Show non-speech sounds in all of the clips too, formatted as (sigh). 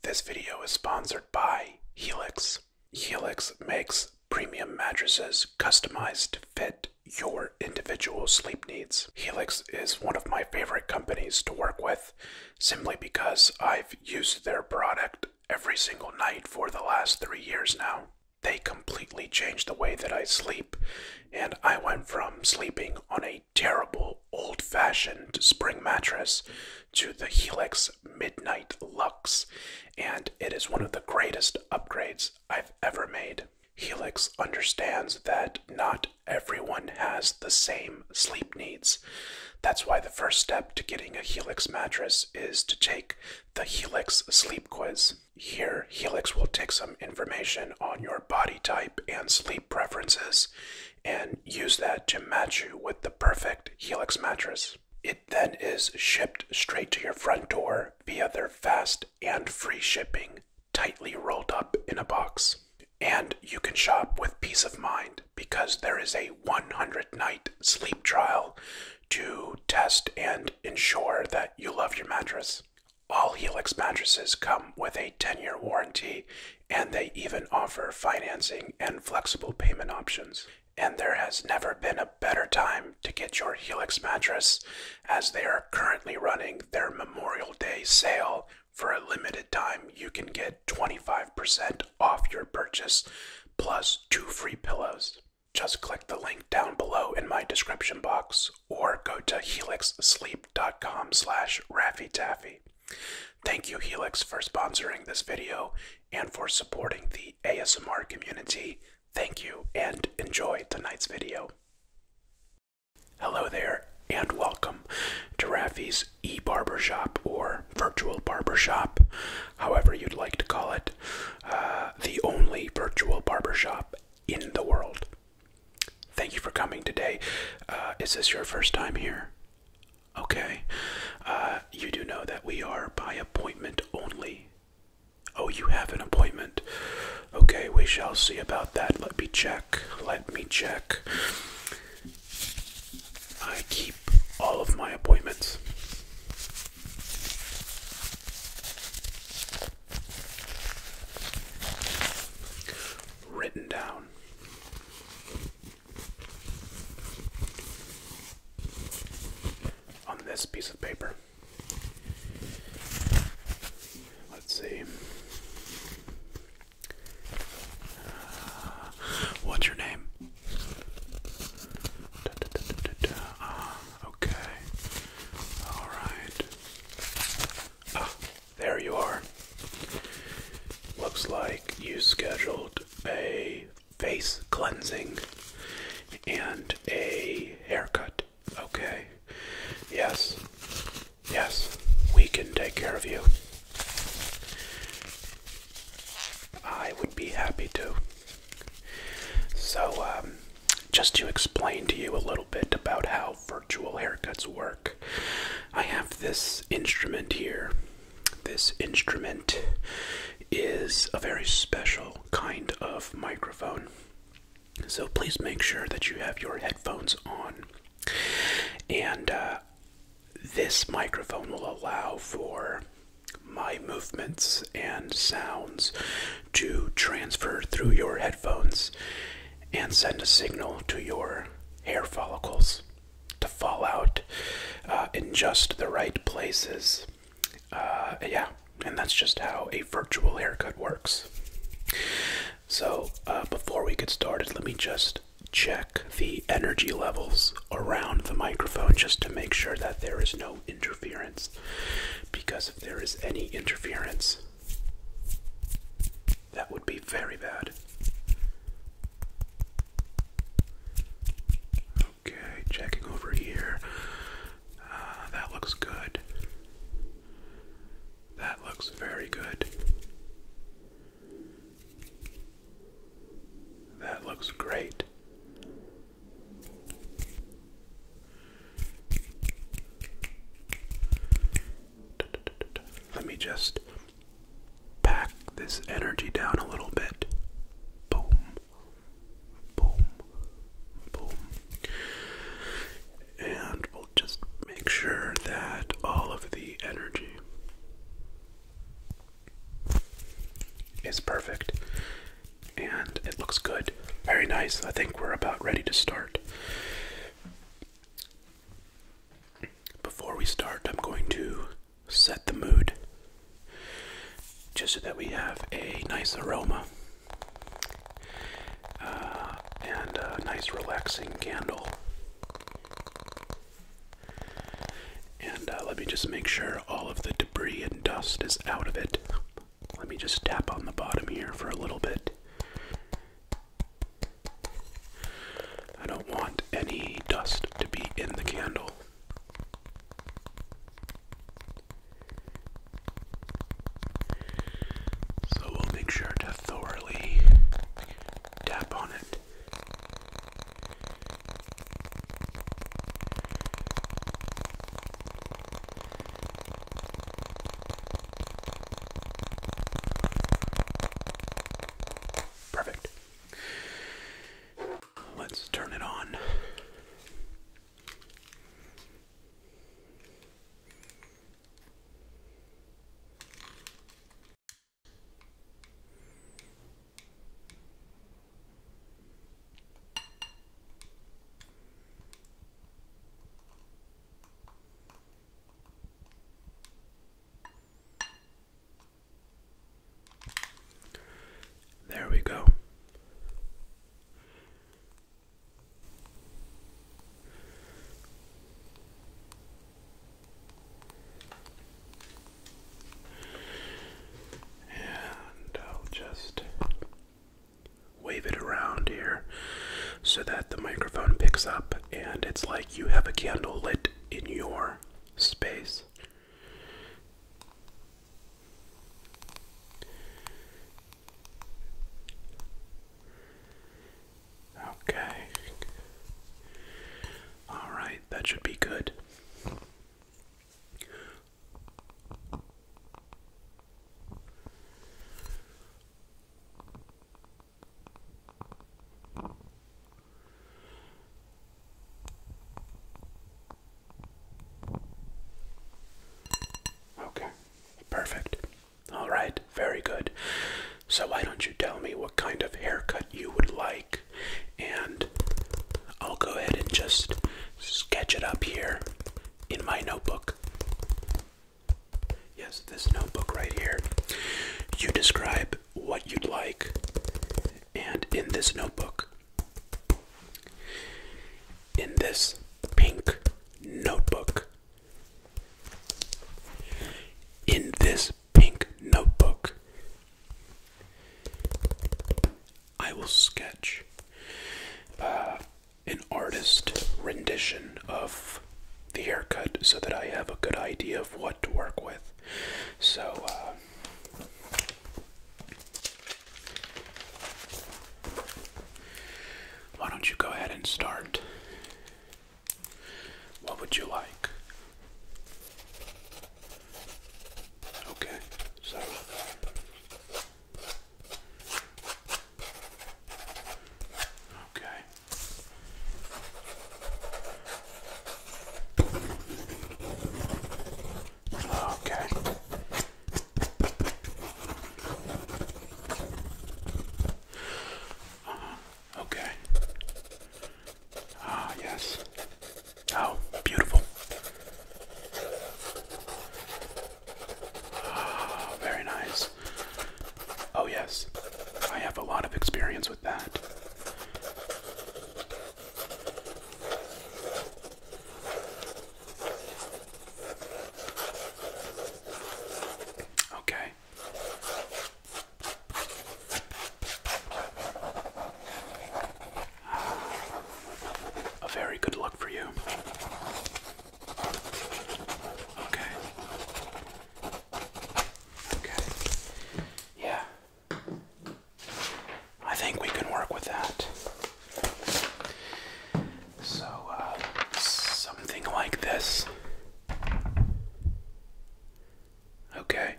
This video is sponsored by Helix. Helix makes premium mattresses customized to fit your individual sleep needs. Helix is one of my favorite companies to work with simply because I've used their product every single night for the last three years now. They completely changed the way that I sleep, and I went from sleeping on a terrible old fashioned spring mattress to the Helix Midnight Lux, and it is one of the greatest upgrades I've ever made. Helix understands that not everyone has the same sleep needs. That's why the first step to getting a Helix mattress is to take the Helix sleep quiz. Here, Helix will take some information on your body type and sleep preferences and use that to match you with the perfect Helix mattress. It then is shipped straight to your front door via their fast and free shipping, tightly rolled up in a box. And you can shop with peace of mind because there is a 100 night sleep trial to test and ensure that you love your mattress. All Helix mattresses come with a 10 year warranty and they even offer financing and flexible payment options. And there has never been a better time to get your Helix mattress as they are currently running their Memorial Day sale. For a limited time, you can get 25% off your purchase plus two free pillows. Just click the link down below in my description box or go to helixsleep.com slash Taffy. Thank you, Helix, for sponsoring this video and for supporting the ASMR community. Thank you and enjoy tonight's video. Hello there and welcome to Rafi's e-barbershop or virtual barbershop, however you'd like to call it, uh, the only virtual barbershop in the world. Thank you for coming today. Uh, is this your first time here? Okay. Uh, you do know that we are by appointment only. Oh, you have an appointment. Okay, we shall see about that. Let me check. Let me check. I keep all of my appointments. Written down on this piece of paper. Let's see. Uh, what's your name? Uh, okay. All right. Ah, there you are. Looks like you scheduled a face cleansing and a haircut. Okay. Yes. Yes. We can take care of you. I would be happy to. So, um, just to explain to you a little bit about how virtual haircuts work, I have this instrument here. This instrument is a very special kind of microphone. So please make sure that you have your headphones on. And uh, this microphone will allow for my movements and sounds to transfer through your headphones and send a signal to your hair follicles to fall out uh, in just the right places. Uh, yeah, and that's just how a virtual haircut works. So, uh, before we get started, let me just check the energy levels around the microphone just to make sure that there is no interference. Because if there is any interference, that would be very bad. Okay, checking over here. Ah, that looks good. That looks very good. That looks great. Let me just pack this energy down a little bit. Boom, boom, boom. And we'll just make sure that all of the energy is perfect and it looks good. Very nice. I think we're about ready to start. Before we start, I'm going to set the mood just so that we have a nice aroma uh, and a nice relaxing candle. And uh, let me just make sure all of the debris and dust is out of it. Let me just tap on the bottom here for a little bit. I don't want any dust to be in the candle. So we'll make sure to thoroughly tap on it. Perfect. Let's turn it on. There we go. And I'll just wave it around here so that the microphone picks up and it's like you have a candle lit in your space. Okay. All right, that should be good. Okay, perfect. All right, very good. So, why don't you tell me what kind of haircut you would like? And I'll go ahead and just sketch it up here in my notebook. Yes, this notebook right here. You describe what you'd like. And in this notebook, in this pink notebook, in this pink notebook, I will sketch uh, an artist rendition of the haircut so that I have a good idea of what to work with. So, uh, why don't you go ahead and start? What would you like? Okay, so. Okay. Okay. Okay. Ah, yes. Oh, beautiful. Ah, very nice. Oh, yes. I have a lot of experience with that. Okay. A very good look for you. Okay. Okay. Yeah. I think we can work with that. So, uh, something like this. Okay.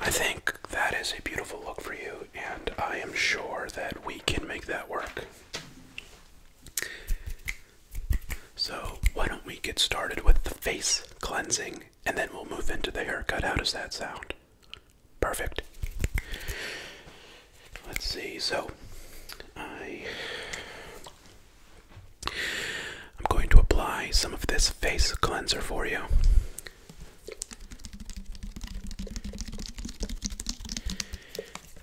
I think that is a beautiful look for you, and I am sure that we can make that work. So, why don't we get started with the face cleansing and then we'll move into the haircut. How does that sound? Perfect. Let's see. So, I I'm going to apply some of this face cleanser for you.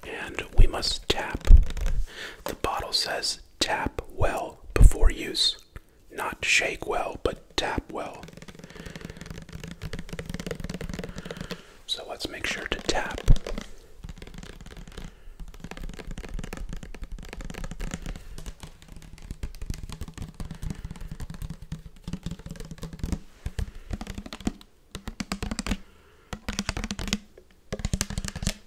And we must tap. The bottle says tap well before use. Not shake well, but tap well. So let's make sure to tap.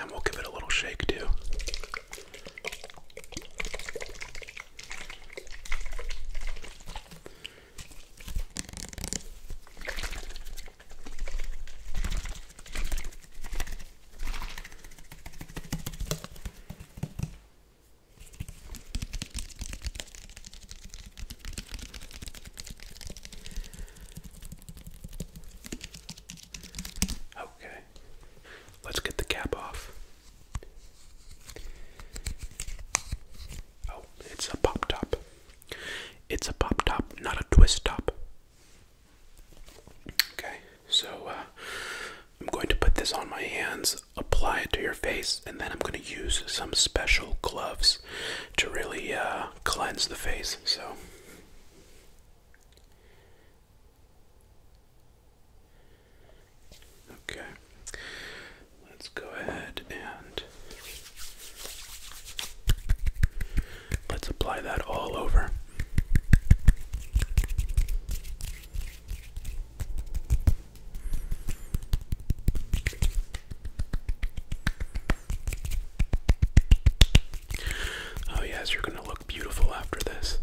And we'll give it a little shake too. Okay. Let's get the cap off. Oh, it's a pop top. It's a pop top, not a twist top. Okay, so uh, I'm going to put this on my hands, apply it to your face, and then I'm going to use some special gloves to really uh, cleanse the face. So. Okay, let's go ahead and let's apply that all over. Oh, yes, you're going to look beautiful after this.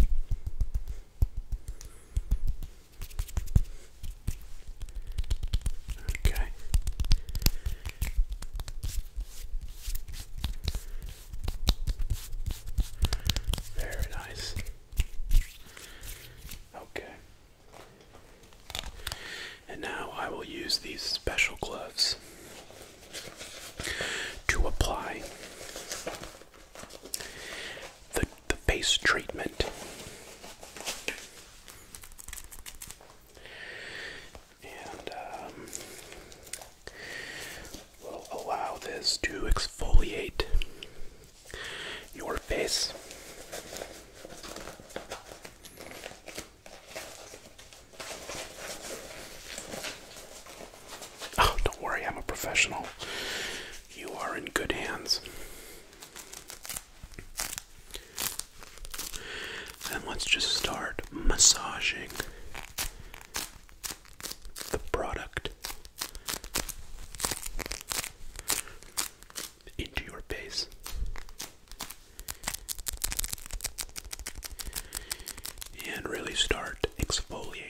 Okay. Very nice. Okay. And now I will use these special gloves. To apply the, the face treatment. And um, we'll allow this to exfoliate your face. Oh, don't worry, I'm a professional. You are in good hands. And let's just start massaging the product into your base and really start exfoliating.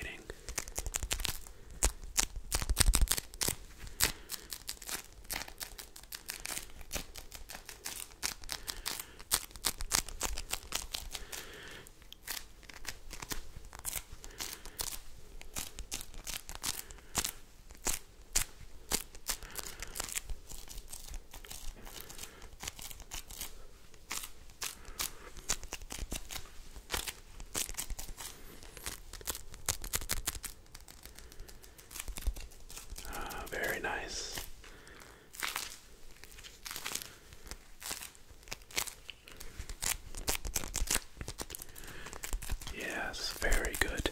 Ah, very nice. Yes, very good.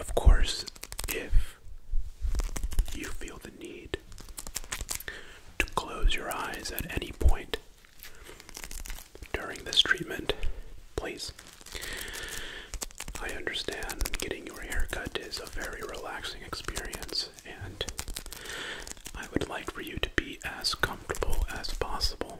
Of course, if you feel the need to close your eyes at any point during this treatment, please. I understand getting your haircut is a very relaxing experience, and I would like for you to be as comfortable as possible.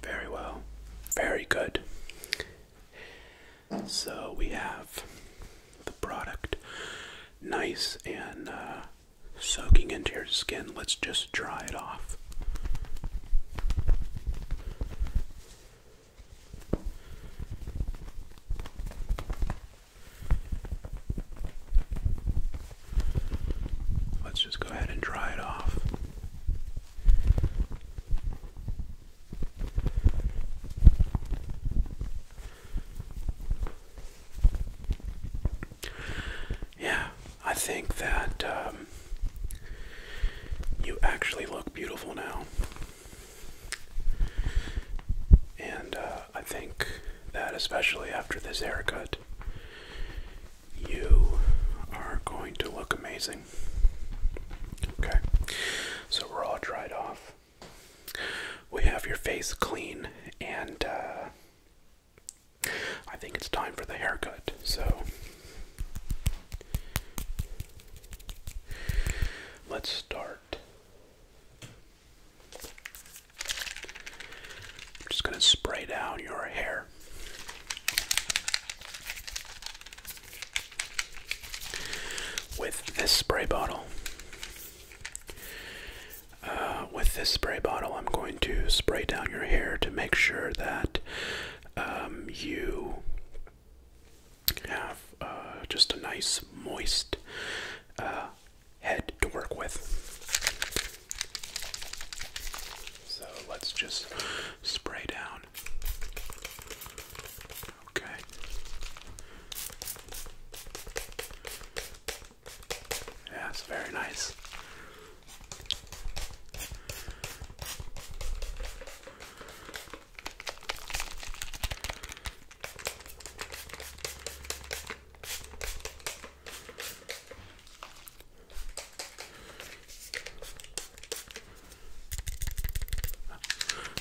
Very well. Very good. So we have the product nice and uh, soaking into your skin. Let's just dry it off. Let's just go ahead and dry it off. Yeah, I think that um, you actually look beautiful now. And uh, I think that, especially after this haircut, you are going to look amazing. Okay, so we're all dried off. We have your face clean, and uh, I think it's time for the haircut. So let's start. just going to spray down your hair. With this spray bottle, uh, with this spray bottle, I'm going to spray down your hair to make sure that um, you have uh, just a nice, moist uh, head to work with. So let's just spray down down. Okay. Yeah, very nice.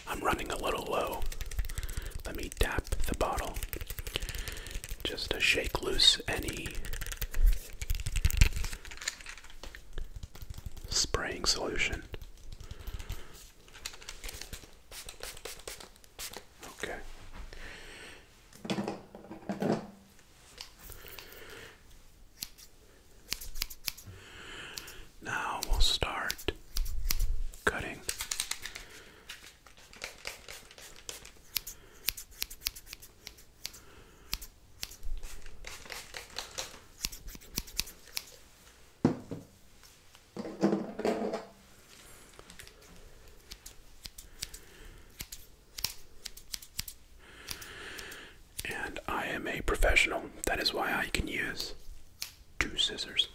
I'm running a little low. Let me tap the bottle just to shake loose any spraying solution. Okay. Now we'll start cutting and I am a professional. That is why I can use two scissors.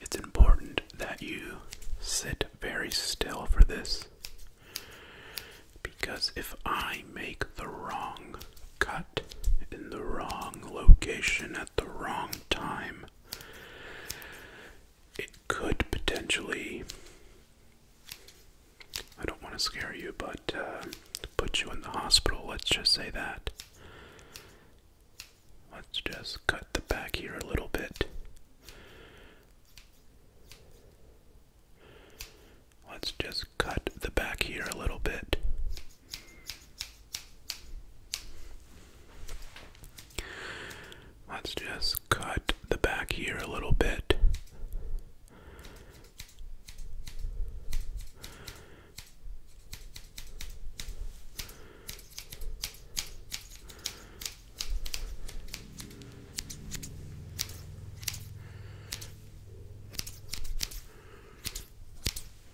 It's important that you sit very still for this because if I make the wrong cut in the wrong location at the wrong time, it could potentially I don't want to scare you, but uh, put you in the hospital, let's just say that. Let's just cut the back here a little bit. Let's just cut the back here a little bit. Let's just cut the back here a little bit.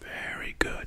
Very good.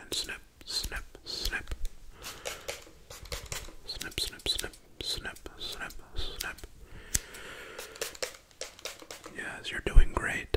And snip, snip, snip. Snip, snip, snip, snip, snip, snip. Yes, you're doing great.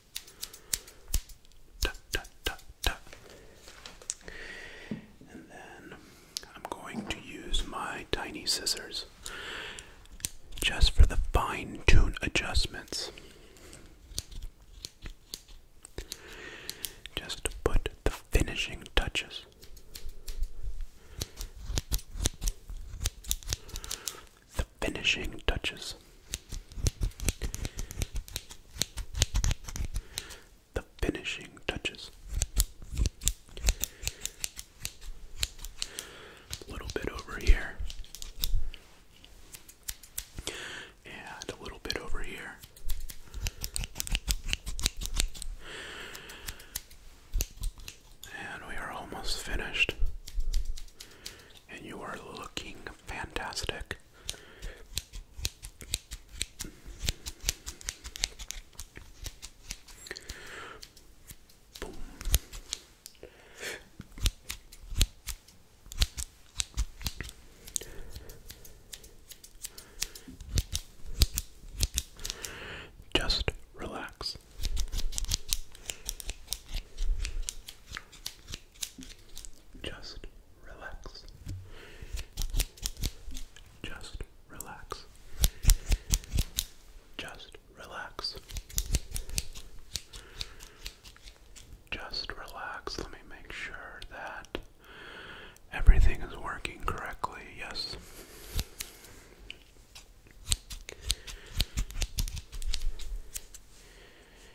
And then I'm going to use my tiny scissors just for the fine tune adjustments. Just to put the finishing touches the finishing touches. The finishing touches. A little bit over here. And a little bit over here. And we are almost finished. And you are looking fantastic. Just relax. Just relax. Just relax. Just relax. Just relax. Let me make sure that everything is working correctly. Yes.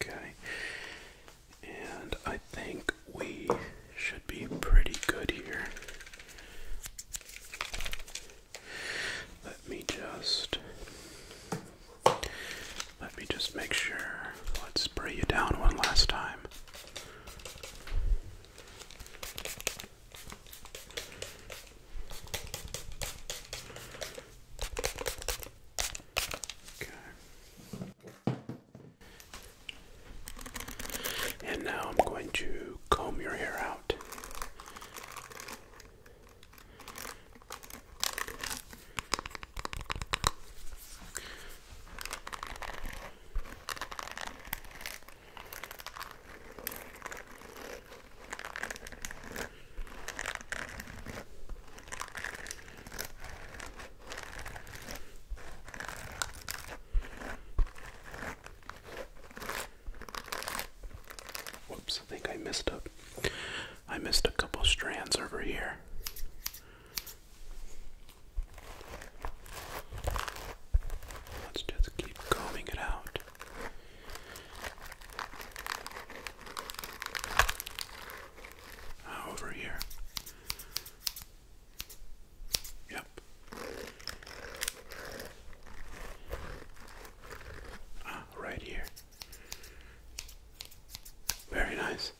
Okay. And I think we should be pretty good here. Let me just let me just make sure. Let's spray you down one last time. Okay. And now I'm going to comb your hair out. Whoops, I think I missed up. I missed a couple strands over here. Let's just keep combing it out. Uh, over here. Yep. Ah, right here. Very nice.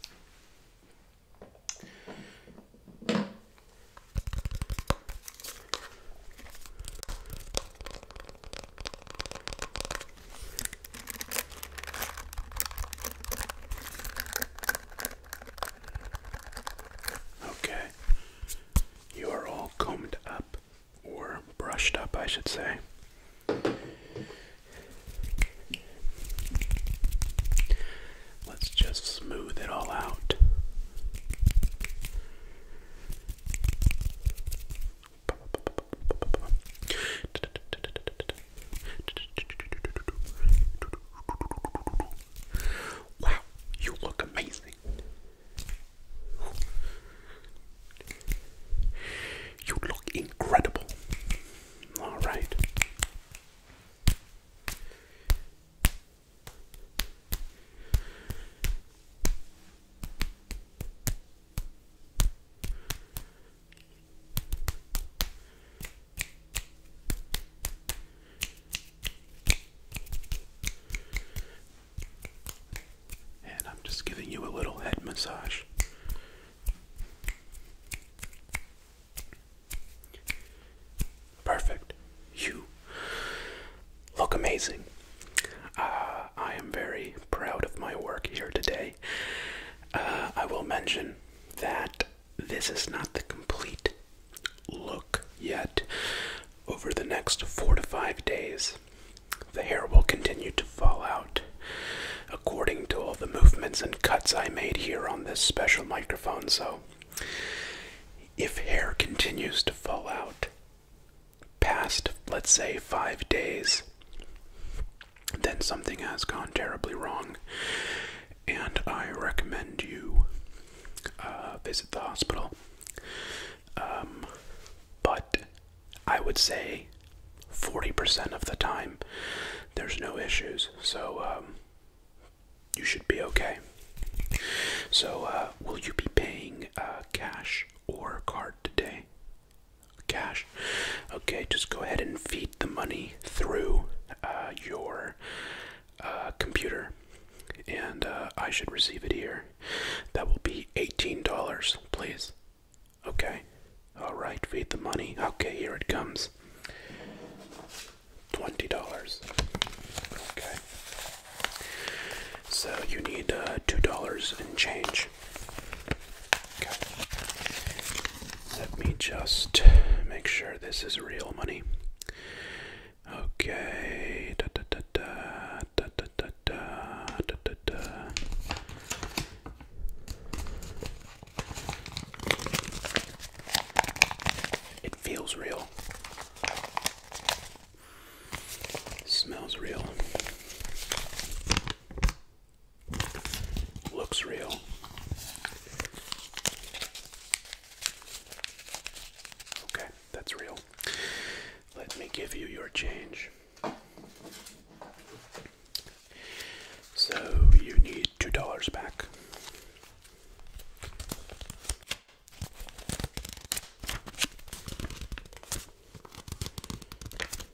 Okay. You are all combed up, or brushed up, I should say. Let's just smooth it all out. Wow, you look amazing. You look incredible. All right. And I'm just giving you a little head massage. Perfect. You look amazing. Uh, I am very proud of my work here today. Uh, I will mention that this is not the complete look yet. Over the next four to five days, the hair will continue to fall out. According to all the movements and cuts I made here on this special microphone, so if hair continues to fall out past, let's say, five days, then something has gone terribly wrong, and I recommend you uh, visit the hospital. Um, but I would say 40% of the time there's no issues, so um, you should be okay. So, uh, will you be paying uh, cash or card today? cash. Okay, just go ahead and feed the money through uh, your uh, computer, and uh, I should receive it here. That will be $18, please. Okay, alright, feed the money. Okay, here it comes. $20. Okay. So you need $2 in change. Let me just make sure this is real money. Okay. Da, da, da, da, da, da, da, da, da. It feels real. smells real. Looks real. Okay, that's real. Let me give you your change. So you need two dollars back.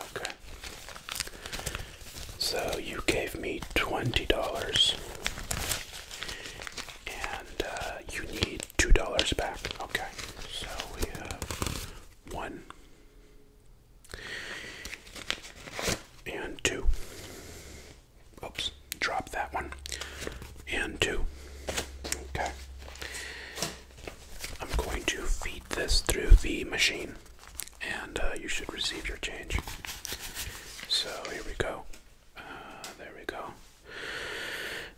Okay. So you gave me twenty dollars, and uh, you need two dollars back. Okay. So we have one, and two. Oops, drop that one. And two. Okay. I'm going to feed this through the machine and uh, you should receive your change. So here we go. Uh, there we go.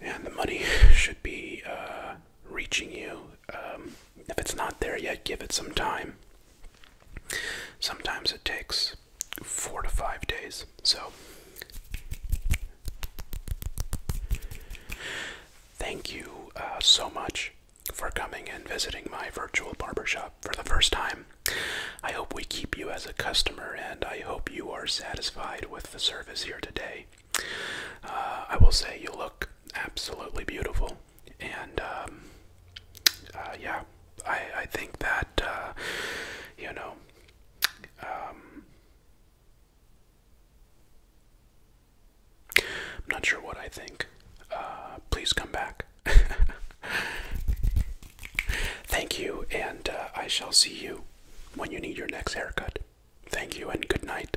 And the money should be uh, reaching you. Um, if it's not there yet, give it some time. Sometimes it takes four to five days. So, thank you uh, so much for coming and visiting my virtual barbershop for the first time. I hope we keep you as a customer and I hope you are satisfied with the service here today. Uh, I will say you look absolutely beautiful and um, uh, yeah, I I think that uh, you know. Um, I'm not sure what I think. Uh, please come back. (laughs) Thank you, and I shall see you when you need your next haircut. Thank you, and good night.